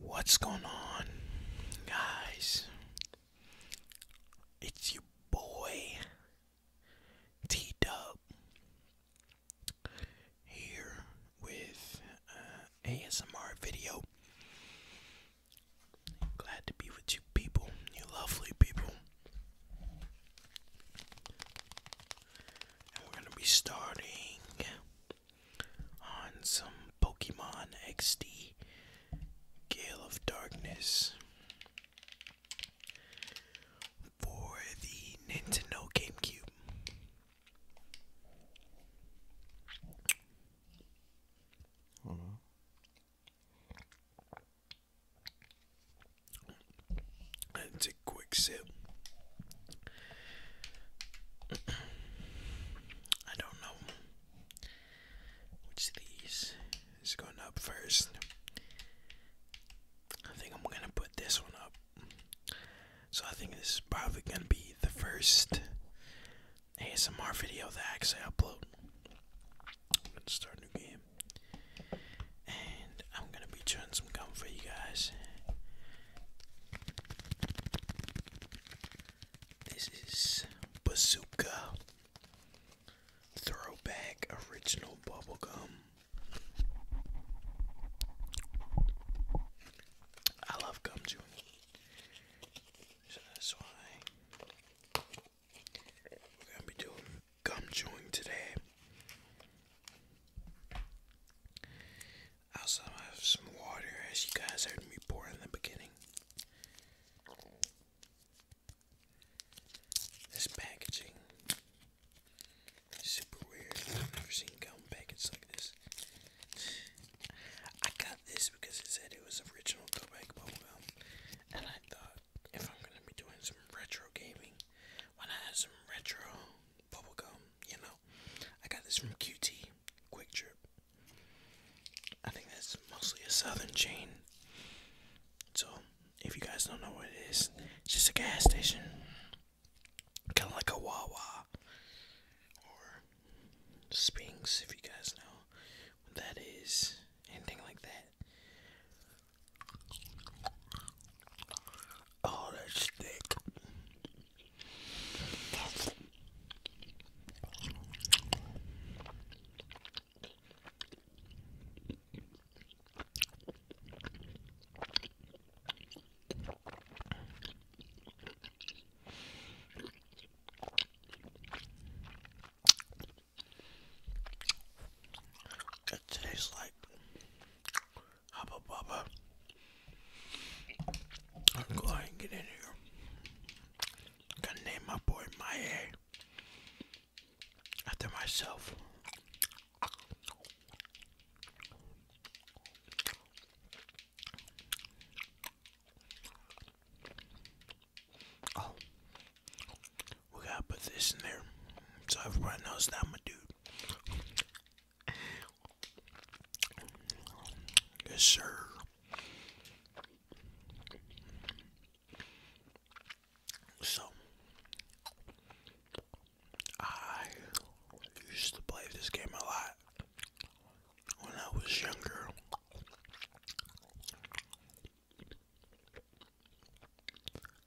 What's going on, guys? It's your boy T Dub here with uh, ASMR video. Glad to be with you, people, you lovely people we're gonna be starting on some Pokemon XD Gale of Darkness for the Nintendo GameCube. Let's take a quick sip. I don't know which these is going up first. I think I'm gonna put this one up. So I think this is probably gonna be the first ASMR video that I actually upload. Let's start a new game. And I'm gonna be chewing some gum for you guys. This is Bazooka Throwback Original Bubblegum. I love gum So that's why we're gonna be doing gum chewing today. I also have some water, as you guys heard me pour in the beginning. This packaging super weird. I've never seen gum packets like this. I got this because it said it was original Quebec bubblegum, and I thought if I'm gonna be doing some retro gaming, why not have some retro bubblegum? You know, I got this from QT Quick Trip. I think that's mostly a southern chain. So, if you guys don't know what it is, it's just a gas station, kind of like a Wawa or Spinks, if you guys know what that is, anything like that. Oh, that's thick. It tastes like Hubba Bubba. I'm going to get in here. gonna name my boy Maya after myself. Oh, we gotta put this in there so everyone knows that I'm a dude. Yes, sir. So, I used to play this game a lot when I was younger.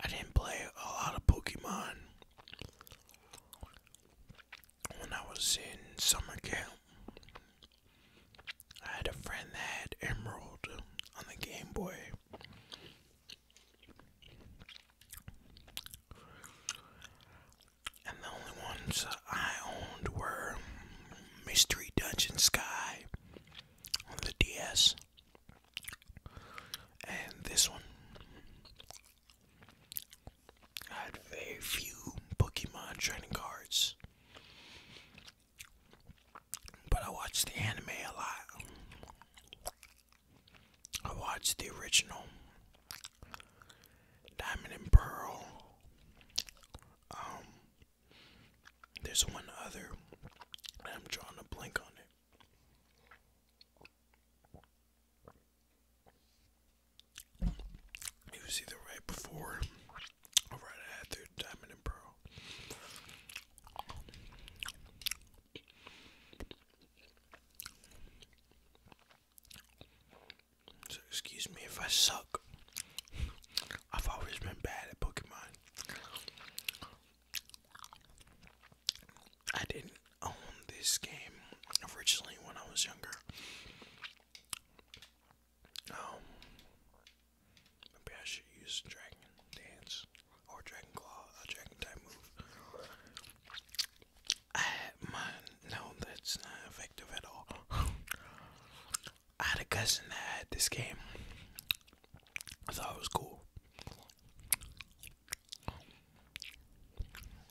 I didn't play a lot of Pokemon when I was in summer camp. I had a friend that had Emerald on the Game Boy. And the only ones I owned were Mystery Dungeon Sky on the DS and this one I had very few Pokemon trading cards. But I watched the anime a lot. I watched the original Diamond and Pearl. Um, there's one other, I'm drawing a blank on it. It was either right before or right after Diamond and Pearl. So, excuse me if I suck. I've always been bad at Pokemon. I didn't own this game originally when I was younger. Um, maybe I should use Dragon Dance or Dragon Claw, a Dragon type move. I had No, that's not effective at all. I had a cousin that had this game. I thought it was cool.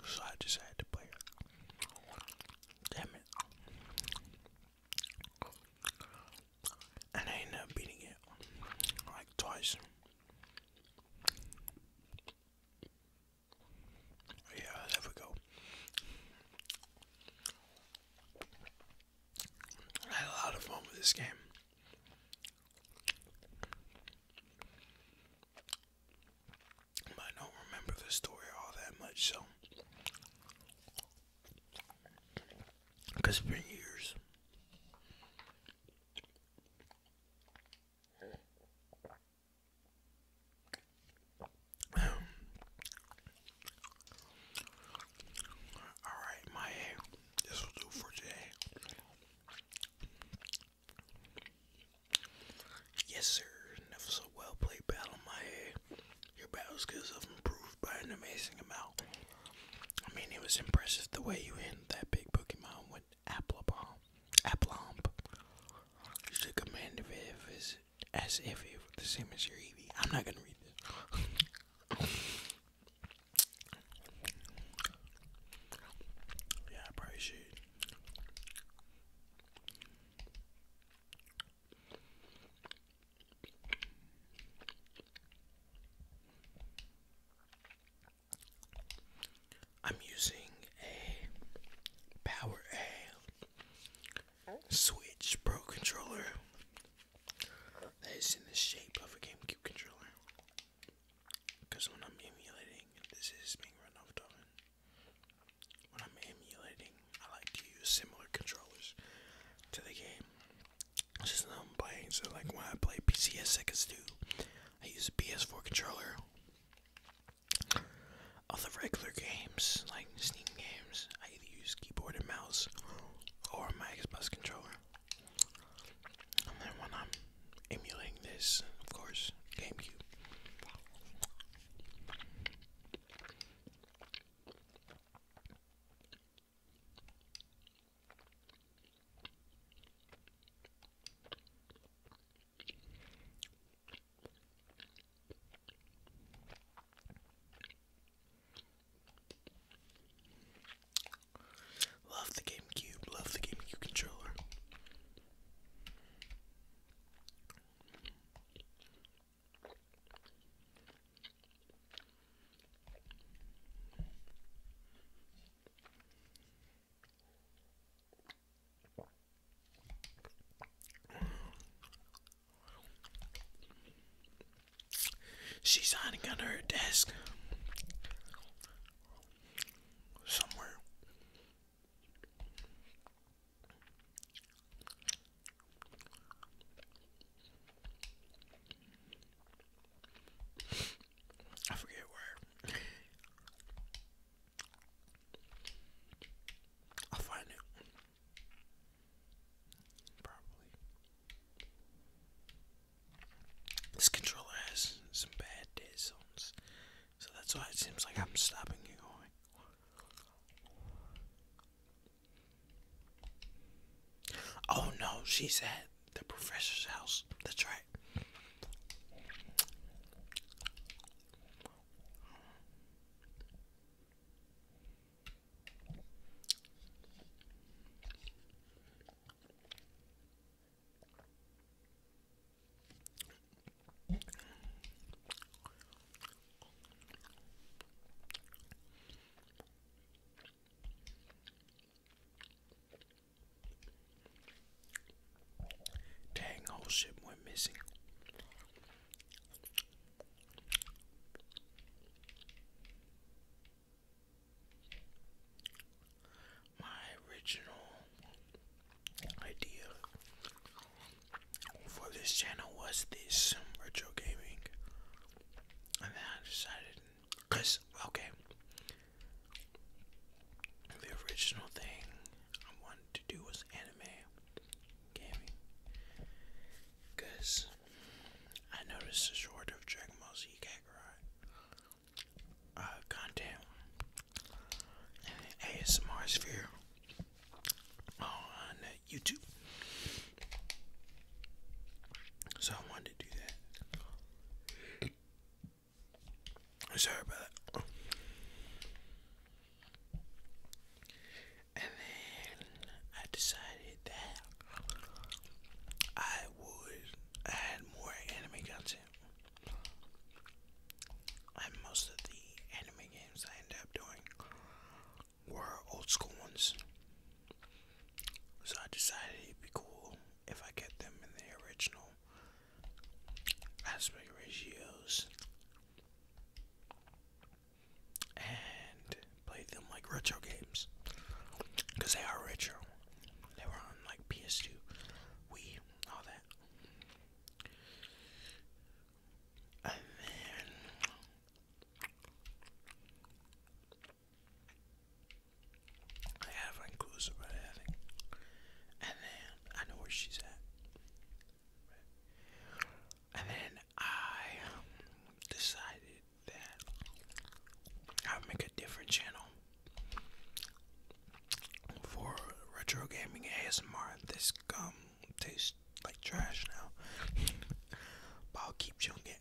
So I just had to play it. Damn it. And I ended up beating it like twice. Yeah, there we go. I had a lot of fun with this game. I don't remember the story all that much, so. Because it's been years. All right, my this will do for today. Yes, sir. Never so well played battle, my your battle skills have improved by an amazing amount. I mean, it was impressive the way you handled that big Pokemon with Applebomb. Applomb. You took command as if it were the same as your Eevee. I'm not gonna read this. Yeah, I I'm using a Power A Switch Pro controller that is in the shape of a GameCube controller. Because when I'm emulating, this is being run off When I'm emulating, I like to use similar controllers to the game. It's just not playing, so like when I play PCS 2, I use a PS4 controller. All regular games, like Steam games, I either use keyboard and mouse or my Xbox controller. And then when I'm emulating this, of course, GameCube. Love the GameCube, love the GameCube controller. She's hiding under her desk somewhere. I forget where. I'll find it. Probably. This controller has some bad dead zones, so that's why it seems like I'm stopping you going. Oh no, she's at the professor's house. That's right. Dang, whole ship went missing. My original idea for this channel was this retro gaming, and then I decided, cause okay, the original thing I wanted to do was anime gaming, because I noticed a short of Dragon Ball Z Kakarot content uh, ASMR sphere on YouTube. So I wanted to do that. Sorry about that and then I decided that I would add more anime content. And most of the anime games I end up doing were old school ones. So I decided it'd be cool if I get them in the original aspect ratios and play them like retro games because they are retro. They were on like PS2, Wii, all that. And then I have an inclusive about it, And then I know where she's at. And then I decided that I would make a different channel for retro gaming ASMR. This gum tastes like trash now, but I'll keep chewing it.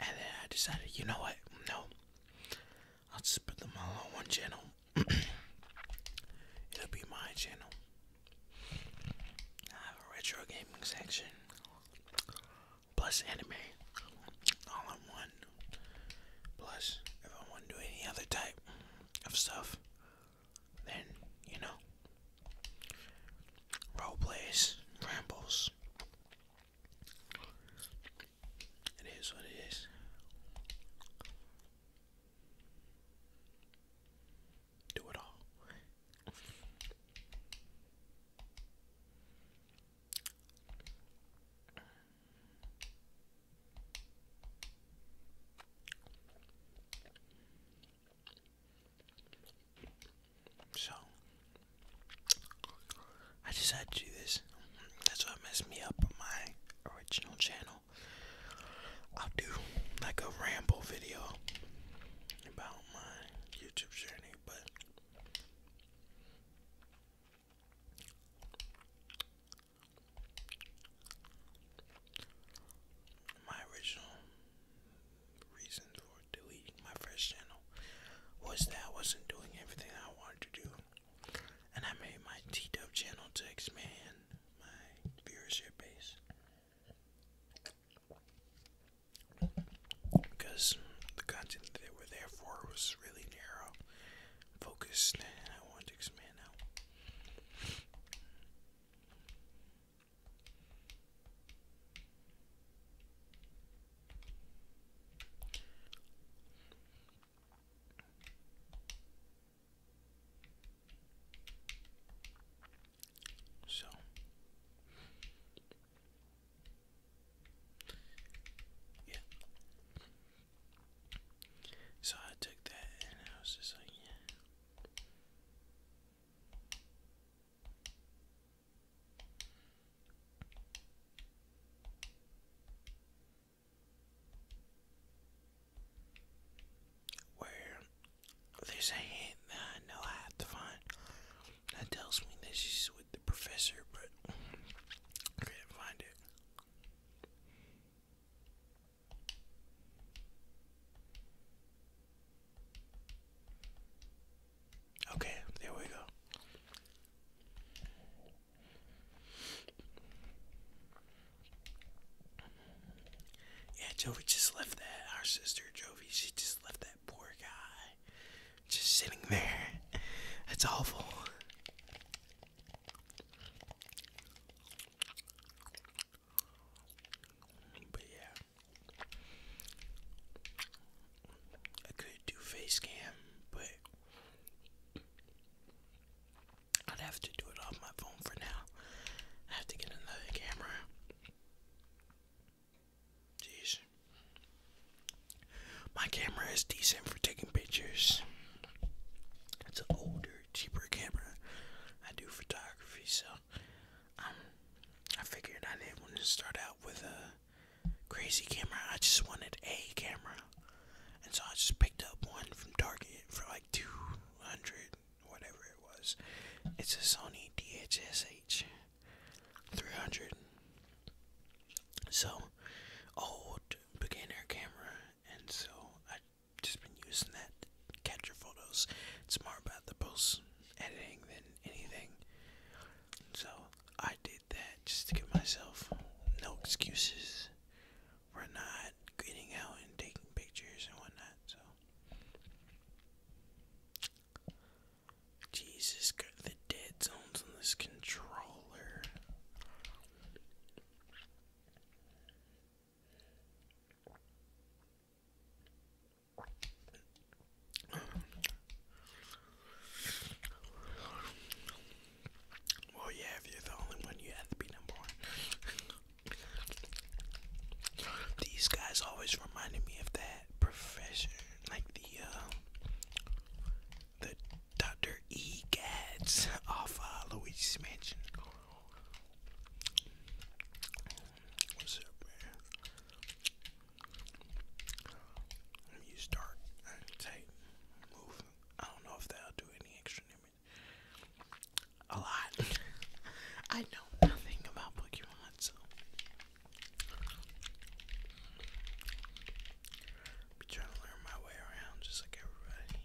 And then I decided, you know what? No. I'll just put them all on one channel. It'll be my channel. I have a retro gaming section. Plus anime. All in one. Plus, if I want to do any other type of stuff, then you know role plays, rambles. It is what it is. Do it all. So, I decided to do this. That's what messed me up on my original channel. I'll do like a ramble video about my YouTube journey, but my original reason for deleting my first channel was that I wasn't doing everything I wanted to do, and I made my t channel expand my viewership base. Because the content that they were there for was really narrow, focused, and I wanted to expand out. So yeah. So I took that and I was just like, yeah. Where there's a hint that I know I have to find that tells me this is with the professor, but I can't find it. Okay, there we go. Yeah, Jovi just left that. Our sister Jovi, she just left that poor guy just sitting there. That's awful. But yeah. I could do face cam, but I'd have to do it off my phone for now. I have to get another camera. Jeez. My camera is decent for taking pictures. It's an older, cheaper camera. I do photography, so um, I figured I didn't want to start out with a crazy camera. I just wanted a camera, and so I just picked up one from Target for like two hundred, whatever it was. It's a Sony DSH three hundred. So old beginner camera, and so I just been using that capture photos. It's more about the post editing than anything. So I did that just to give myself no excuses for not getting out and taking pictures and whatnot. So Jesus, got the dead zones on this controller. Well, yeah, if you're the only one, you have to be number one. These guys always reminded me of that professor, like the, uh, the Dr. E. Gads off uh, Luigi's Mansion. What's up, man? When you start move. I don't know if that'll do any extra damage. A lot. I know nothing about Pokemon, so be trying to learn my way around just like everybody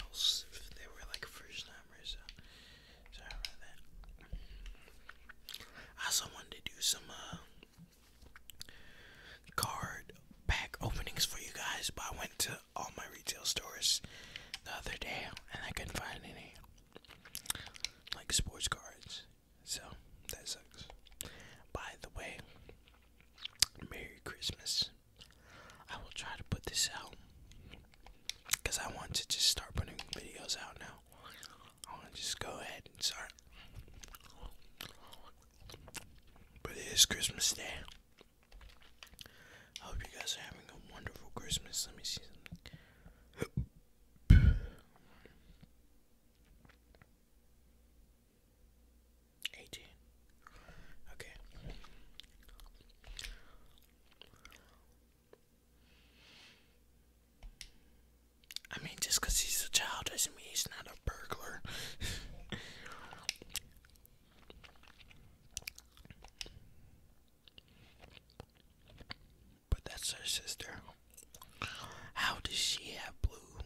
else if they were like first time I also wanted to do some uh, card pack openings for you guys, but I went to all my retail stores the other day and I couldn't find any like sports cards. So that sucks. By the way, Merry Christmas. I will try to put this out because I want to just start putting videos out now. I want to just go ahead and start. But it is Christmas Day. I hope you guys are having a wonderful Christmas. Let me see something. Eighteen. Okay. I mean, just because he's a child doesn't mean he's not a burglar. but that's her sister. How does she have blue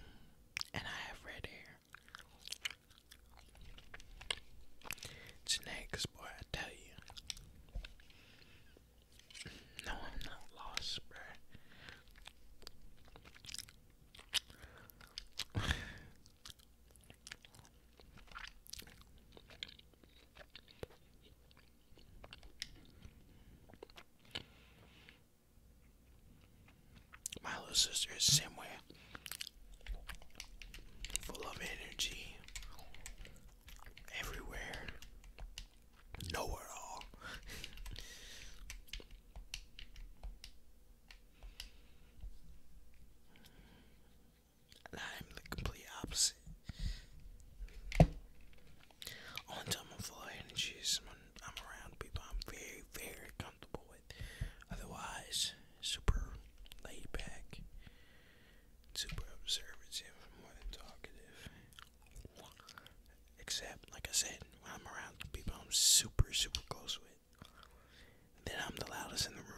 and I have red hair? Snacks, boy, I tell you. No, I'm not lost, bruh. My little sister is the full of energy everywhere nowhere all I'm the complete opposite on time of energy so i I'm around people I'm very very Otherwise, super laid back, super observative, more than talkative. Except, like I said, when I'm around people I'm super, super close with, then I'm the loudest in the room.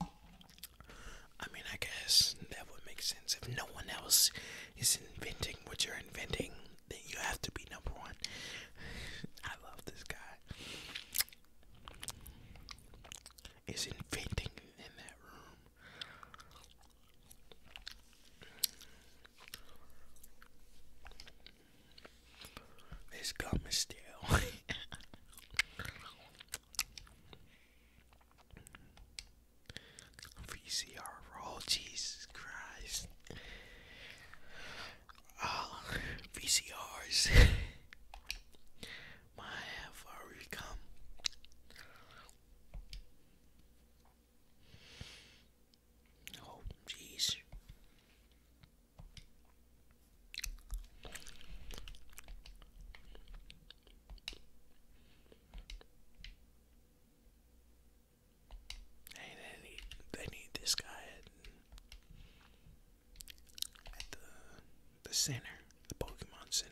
I mean, I guess that would make sense. If no one else is inventing what you're inventing, then you have to be number one. I love this guy. Is inventing in that room. This gum is still. VCR roll, oh, Jesus Christ. Ah, VCRs might have already come. Oh, jeez they need, they need this guy at the, the center, the Pokemon Center.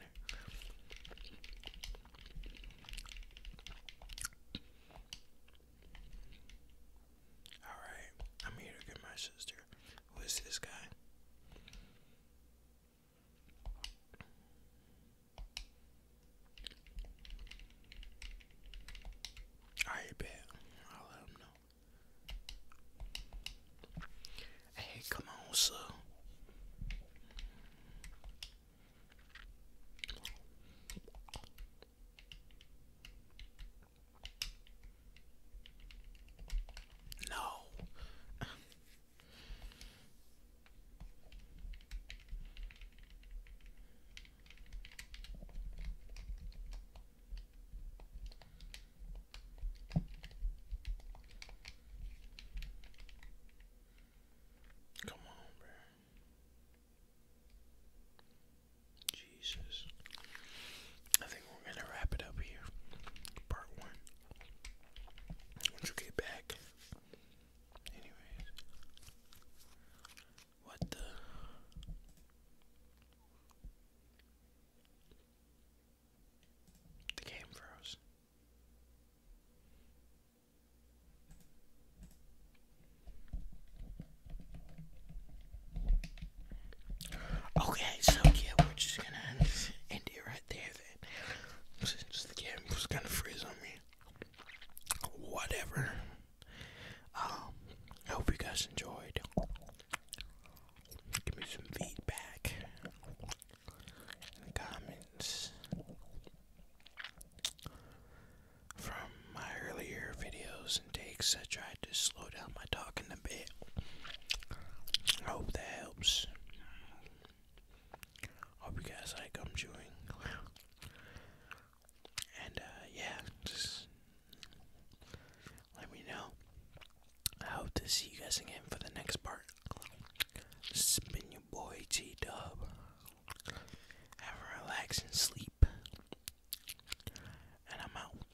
Alright, I'm here to get my sister. Who is this guy? Alright, bet. I'll let him know. Hey, come on, sir. No. Come on, bro. Jesus. I think we're going to wrap it up here. Part one. Once back. Anyways. What the? The game froze. Okay, so yeah, we're just gonna end it right there saying? Since the game was gonna freeze on me. Whatever. Um, I hope you guys enjoyed. Give me some feedback in the comments from my earlier videos and takes. I tried to slow down my talking I hope that helps. Hope you guys like I'm chewing. And uh, yeah, just let me know. I hope to see you guys again for the next part. This has been your boy T Dub. Have a relaxing sleep. And I'm out.